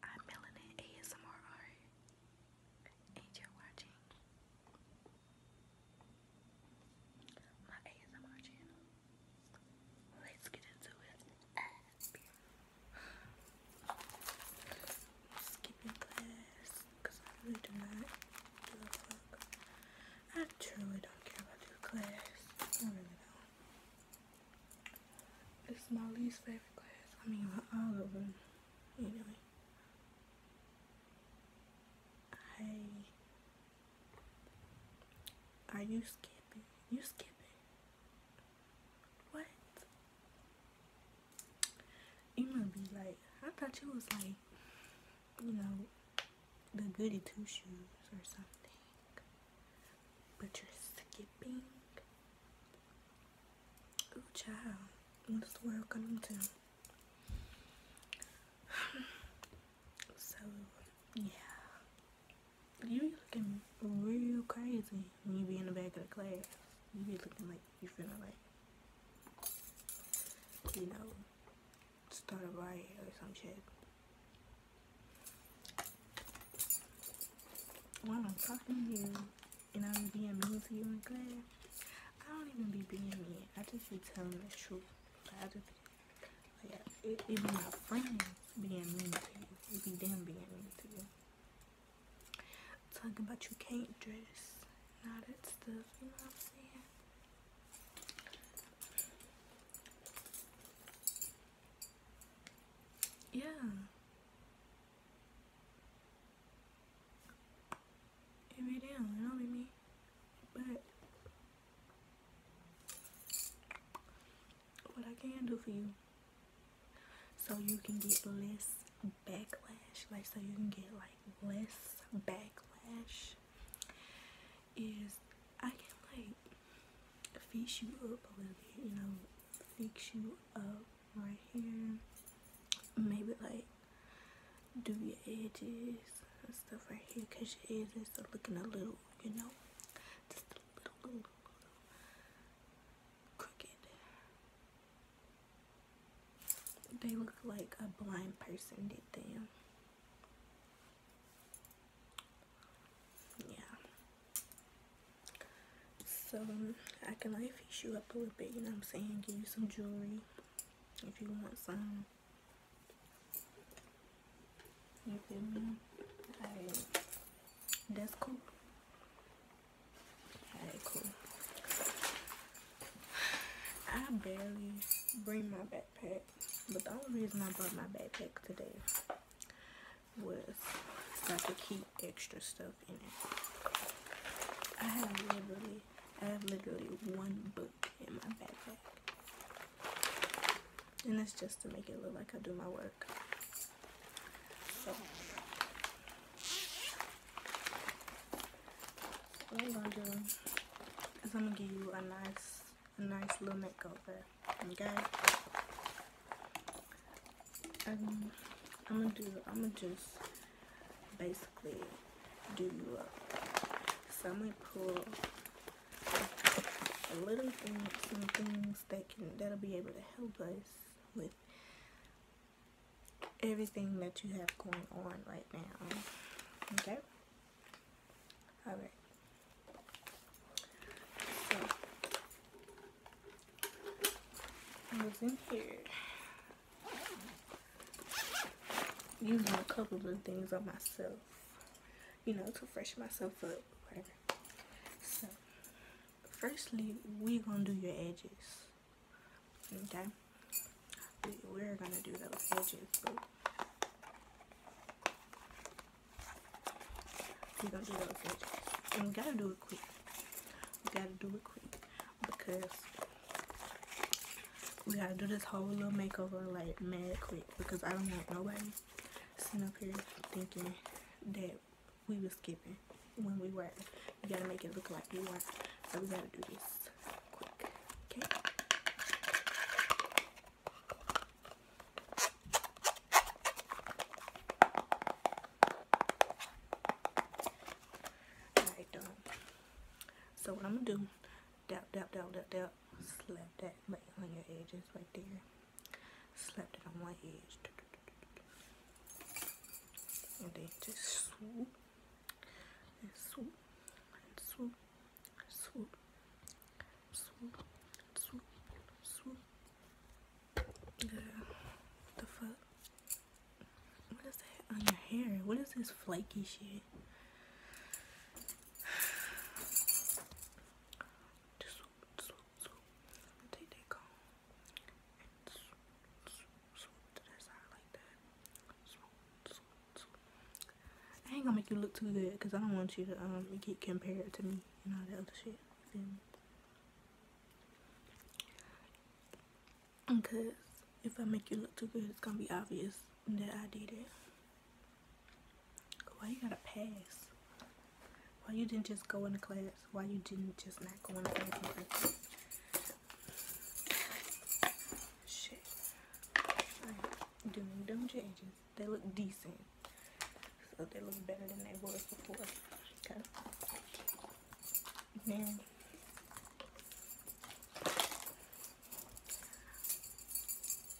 Hi, I'm Melanin ASMR and you're watching my ASMR channel. Let's get into it. I'm skipping class because I really do not give a fuck. I truly don't care about your class. I really don't. This is my least favorite class. I mean, all of them. Anyway. I... Are you skipping? You skipping? What? You might be like, I thought you was like, you know, the goody two shoes or something but you're skipping. Ooh, child, what is the world coming to? so, yeah, you looking real crazy when you be in the back of the class. You be looking like you feeling like, you know, start a riot or some shit when I'm talking to you and I'm being mean to you in class, I don't even be being mean. I just be telling the truth. Like, I just yeah. Even my friends being mean to you. It would be them being mean to you. Talking about you can't dress and all that stuff. You know what I'm saying? Yeah. If you down, you know me. But what I can do for you so you can get less backlash. Like so you can get like less backlash is I can like fix you up a little bit, you know, fix you up right here. Maybe like do your edges and stuff right here because your edges are looking a little, you know, just a little, little, little crooked. They look like a blind person did them yeah so um, I can like fix you up a little bit you know what I'm saying give you some jewelry if you want some you feel me alright that's cool I barely bring my backpack but the only reason I brought my backpack today was so I could keep extra stuff in it. I have literally, I have literally one book in my backpack, and that's just to make it look like I do my work. So. What I'm gonna do is I'm gonna give you a nice a nice little makeover. Okay. Um, I'm gonna do. I'm gonna just basically do you uh, up. So I'm gonna pull a little thing, some things that can that'll be able to help us with everything that you have going on right now. Okay. All right. So, I'm in here. Using a couple of things on myself, you know, to freshen myself up, whatever. So, firstly, we're gonna do your edges, okay? we, are gonna do those edges, but we're gonna do those edges. And we gotta do it quick. We gotta do it quick because we gotta do this whole little makeover like mad quick because I don't want nobody sitting up here thinking that we were skipping when we were. You gotta make it look like we were. So we gotta do this so what I'm gonna do, dab, dab, dab, dab, dab, slap that right on your edges right there. Slap it on my edge. And then just and swoop and swoop and swoop swoop and swoop swoop the the fuck what is that on your hair what is this flaky shit swoop swoop swoop take that comb and swoop swoop I ain't gonna make you look too good because I don't want you to um get compared to me and all that other shit. Because if I make you look too good, it's gonna be obvious that I did it. Why you gotta pass? Why you didn't just go into class? Why you didn't just not go into class? Shit. Like, doing them changes. They look decent. So they look better than they was before. Okay. Then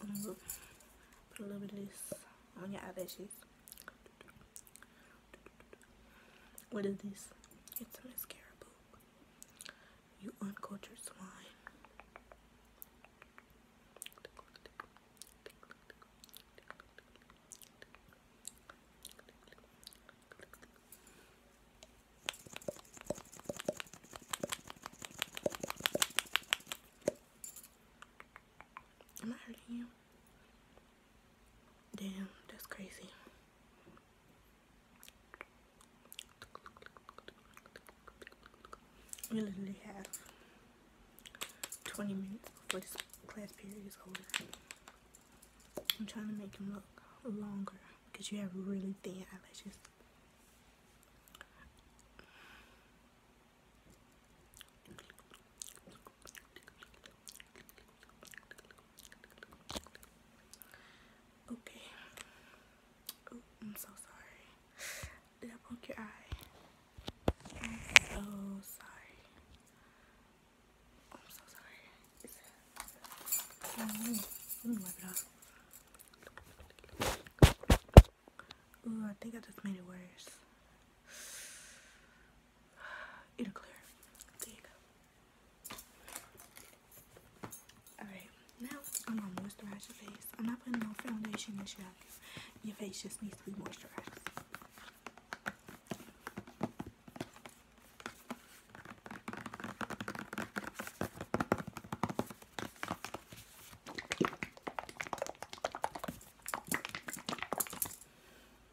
I'm gonna put a little bit of this on your eyelashes. What is this? It's a mascara You uncultured swine. Am I hurting you? Damn, that's crazy. We literally have 20 minutes before this class period is over. I'm trying to make them look longer because you have really thin eyelashes. Okay. Oh, I'm so sorry. Did I poke your eye? I'm so sorry. I'm so sorry. It's, I think I just made it worse. It'll clear. There you go. Alright, now I'm going moisturizing your face. I'm not putting no foundation and shit Your face just needs to be moisturized.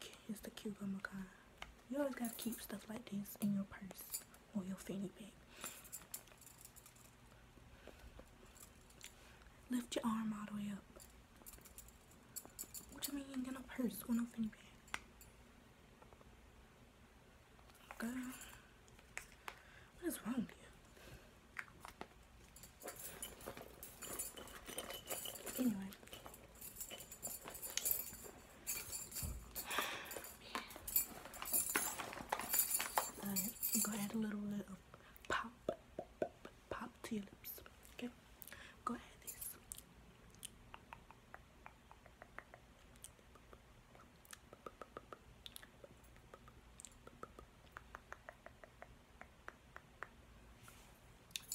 Kids, the cucumber kind. You always gotta keep stuff like this in your purse or your fanny bag. Lift your arm all the way up. What do you mean you ain't got no purse or your fanny bag? Girl, what is wrong with you? Anyway. i add a little bit pop, pop to your lips. Okay, go ahead. This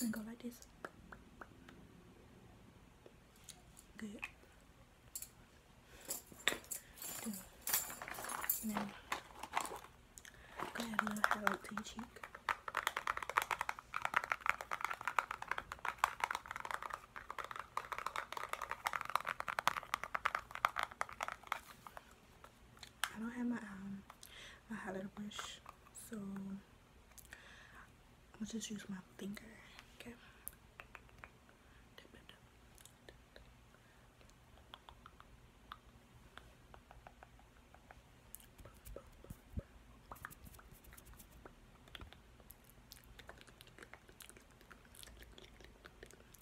and go like this. Good. Good. go ahead and highlight to your cheek. I don't have my um my highlighter brush, so I'm just use my finger. Okay. I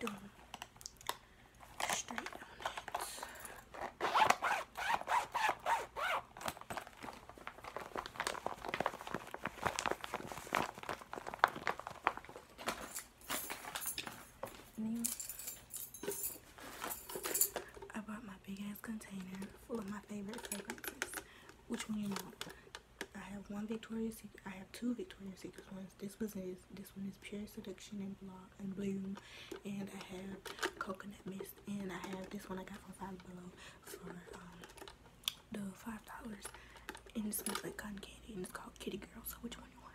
don't straighten it. Anyway, I bought my big ass container full of my favorite fragrances. Which one you want? I have one Victoria's Secret. I have two Victoria's Secret ones. This one is this one is Pure Seduction and Block and Bloom, and I have Coconut Mist, and I have this one I got from Five Below for um, the five dollars, and it smells like cotton candy, and it's called Kitty Girl. So which one you want?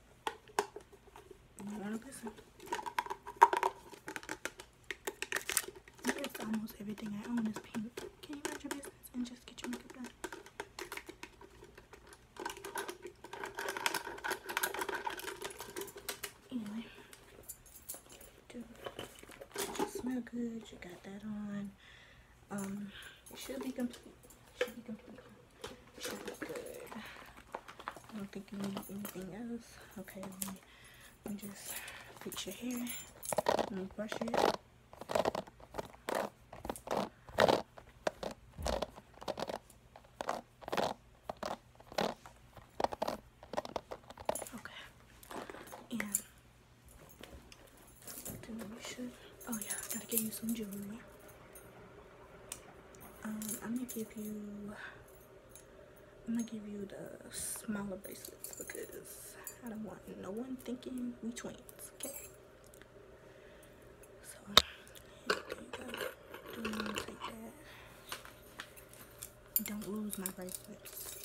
That's almost everything eh, I own is pink. Can you mind your business and just get your makeup done? Anyway, do smell good. You got that on. Um, it should be complete. It should be complete. I don't think you need anything else. Okay, let me, just put your hair. brush it. Oh yeah, gotta get you some jewelry. Um, I'm gonna give you I'm gonna give you the smaller bracelets because I don't want no one thinking we twins, okay? So Do not lose my bracelets.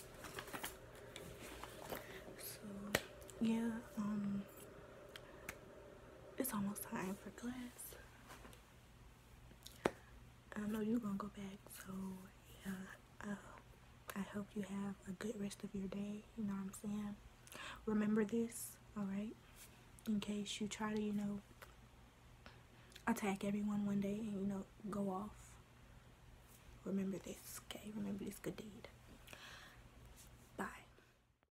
So yeah, um it's almost time for class. I know you're gonna go back, so I hope you have a good rest of your day. You know what I'm saying? Remember this, alright? In case you try to, you know, attack everyone one day and, you know, go off. Remember this, okay? Remember this good deed. Bye.